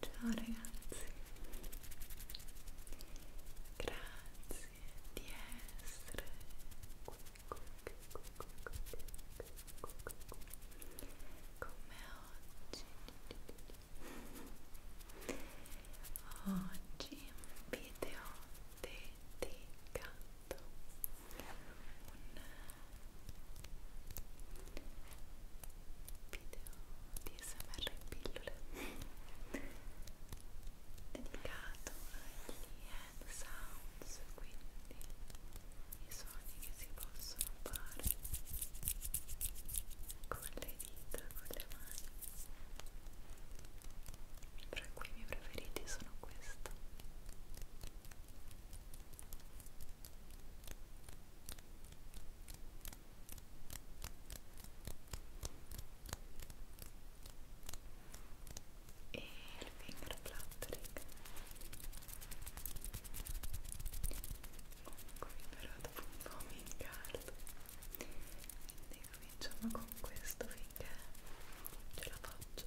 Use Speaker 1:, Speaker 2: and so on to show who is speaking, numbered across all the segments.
Speaker 1: Ciao ragazzi, grazie di essere qui, qui, qui, qui, qui, qui, qui, qui, qui. come oggi. Oggi un video dedicato, un video di smr in pillole dedicato agli hand sounds quindi i suoni che si possono fare con le dita, con le mani tra cui i miei preferiti sono questo e il finger fluttering comunque però dopo un po' mi incarto quindi cominciamo con questo finché ce la faccio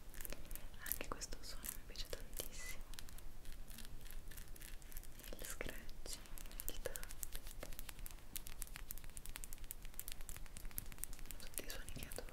Speaker 1: anche questo suono mi piace tantissimo il scratch il tapping tutti i suoni che adoro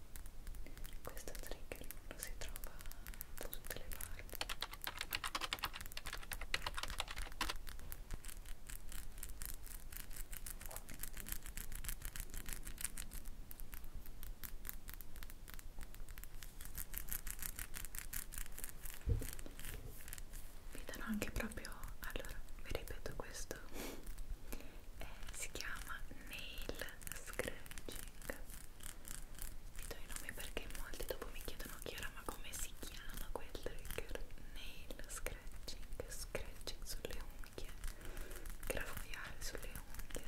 Speaker 1: questo trigger lo si trova da tutte le parti vi darò anche proprio allora vi ripeto questo eh, si chiama nail scratching vi do i nomi perché molti dopo mi chiedono Chiara ma come si chiama quel trigger nail scratching scratching sulle unghie graffiare sulle unghie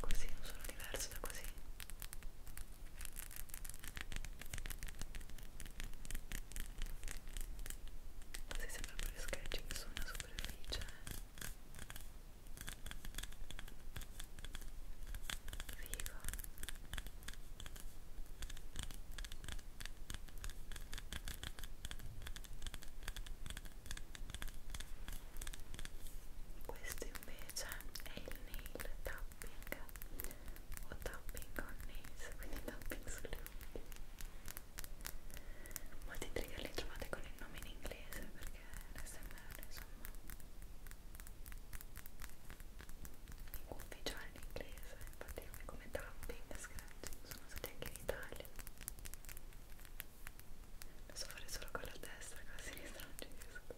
Speaker 1: così non sono diverso da così così sembra fare sketching su una superficie viva questo invece è il nail tapping o tapping on nails quindi tapping sulle unghie molti trigger li trovate con il nome in inglese perché l'SMR insomma lingua ufficiale in inglese infatti nomi come tapping, scratching sono usati anche in Italia lo so fare solo con la destra con la sinistra non ci riesco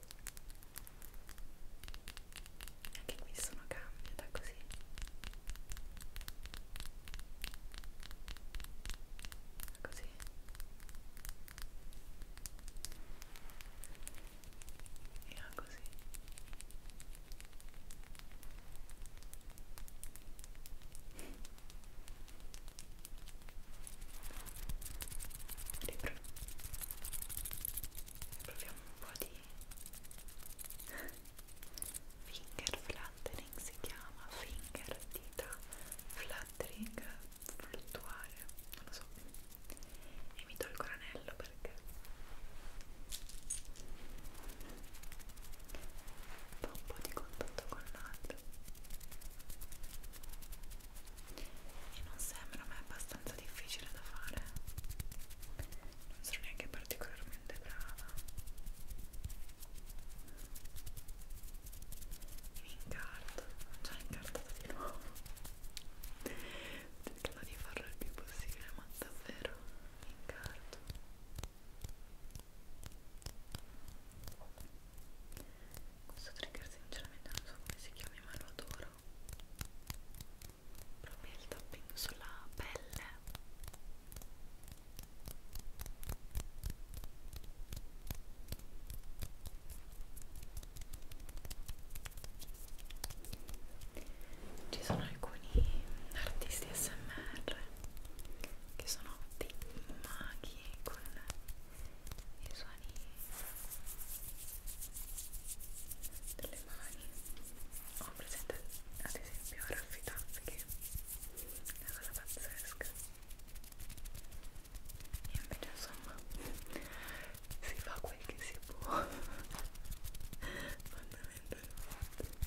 Speaker 1: anche qui sono cambi da così così così e così Ripro proviamo un po' di finger fly fluttering si chiama finger dita fluttering fluttuare non lo so e mi tolgo l'anello perché fa un po' di contatto con l'altro e non sembra ma è abbastanza difficile da fare non sono neanche particolarmente brava mi incarto, ho già incartato di nuovo cercando di farlo il più possibile ma davvero mi incarto questo trigger sinceramente non so come si chiami ma lo adoro proprio il tapping sulla pelle ci sono alcuni artisti SMR che sono dei maghi con i suoni delle mani. Ho presente ad esempio Raffi Taff che una cosa pazzesca e invece insomma si fa quel che si può fondamentalmente ok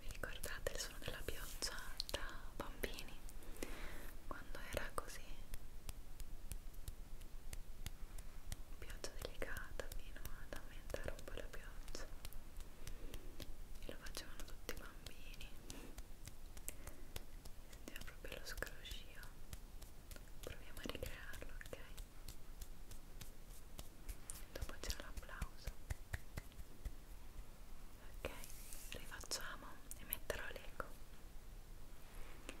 Speaker 1: vi ricordate il suono della pioggia da bambini? Quando era così pioggia delicata fino ad aumentare un po' la pioggia e lo facevano tutti i bambini sentiva proprio lo scroscio proviamo a ricrearlo ok dopo c'era l'applauso ok rifacciamo e metterò l'eco ok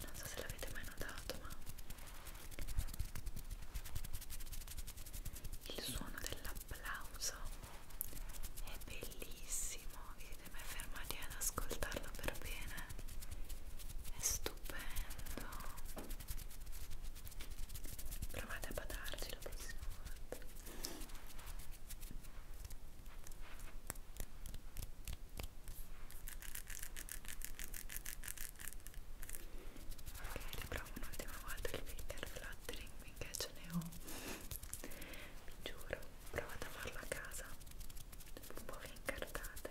Speaker 1: Non so se l'avete mai notato, ma il suono dell'applauso è bellissimo. Vi siete mai fermati ad ascoltarlo per bene? È stupendo provate a badarci la prossima volta ok riprovo un'ultima volta il finger fluttering finché ce ne ho vi giuro provate a farlo a casa un po' vi incartate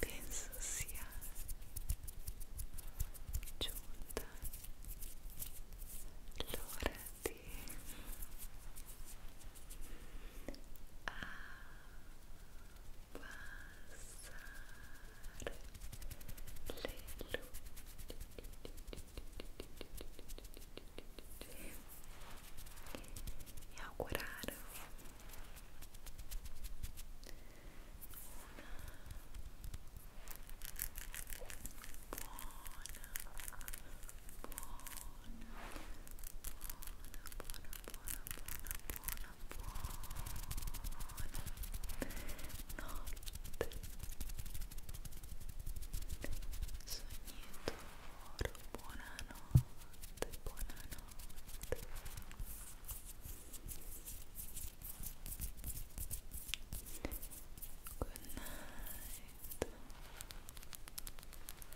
Speaker 1: penso sia giunta l'ora di abbassare le luci e augurarvi buonanotte buonanotte Good night.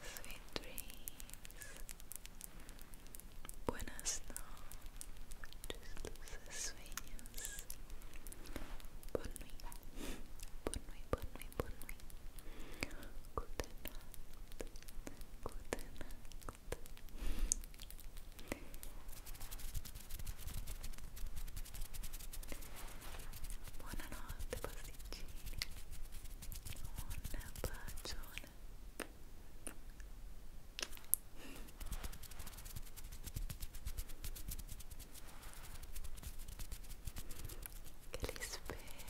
Speaker 1: Sweet dreams. Buenas noches, dulces sueños. Bonne nuit. Bonne nuit, bonne nuit, bonne nuit. Good night. Good night. notte buonanotte pasticcini un bacione che li spero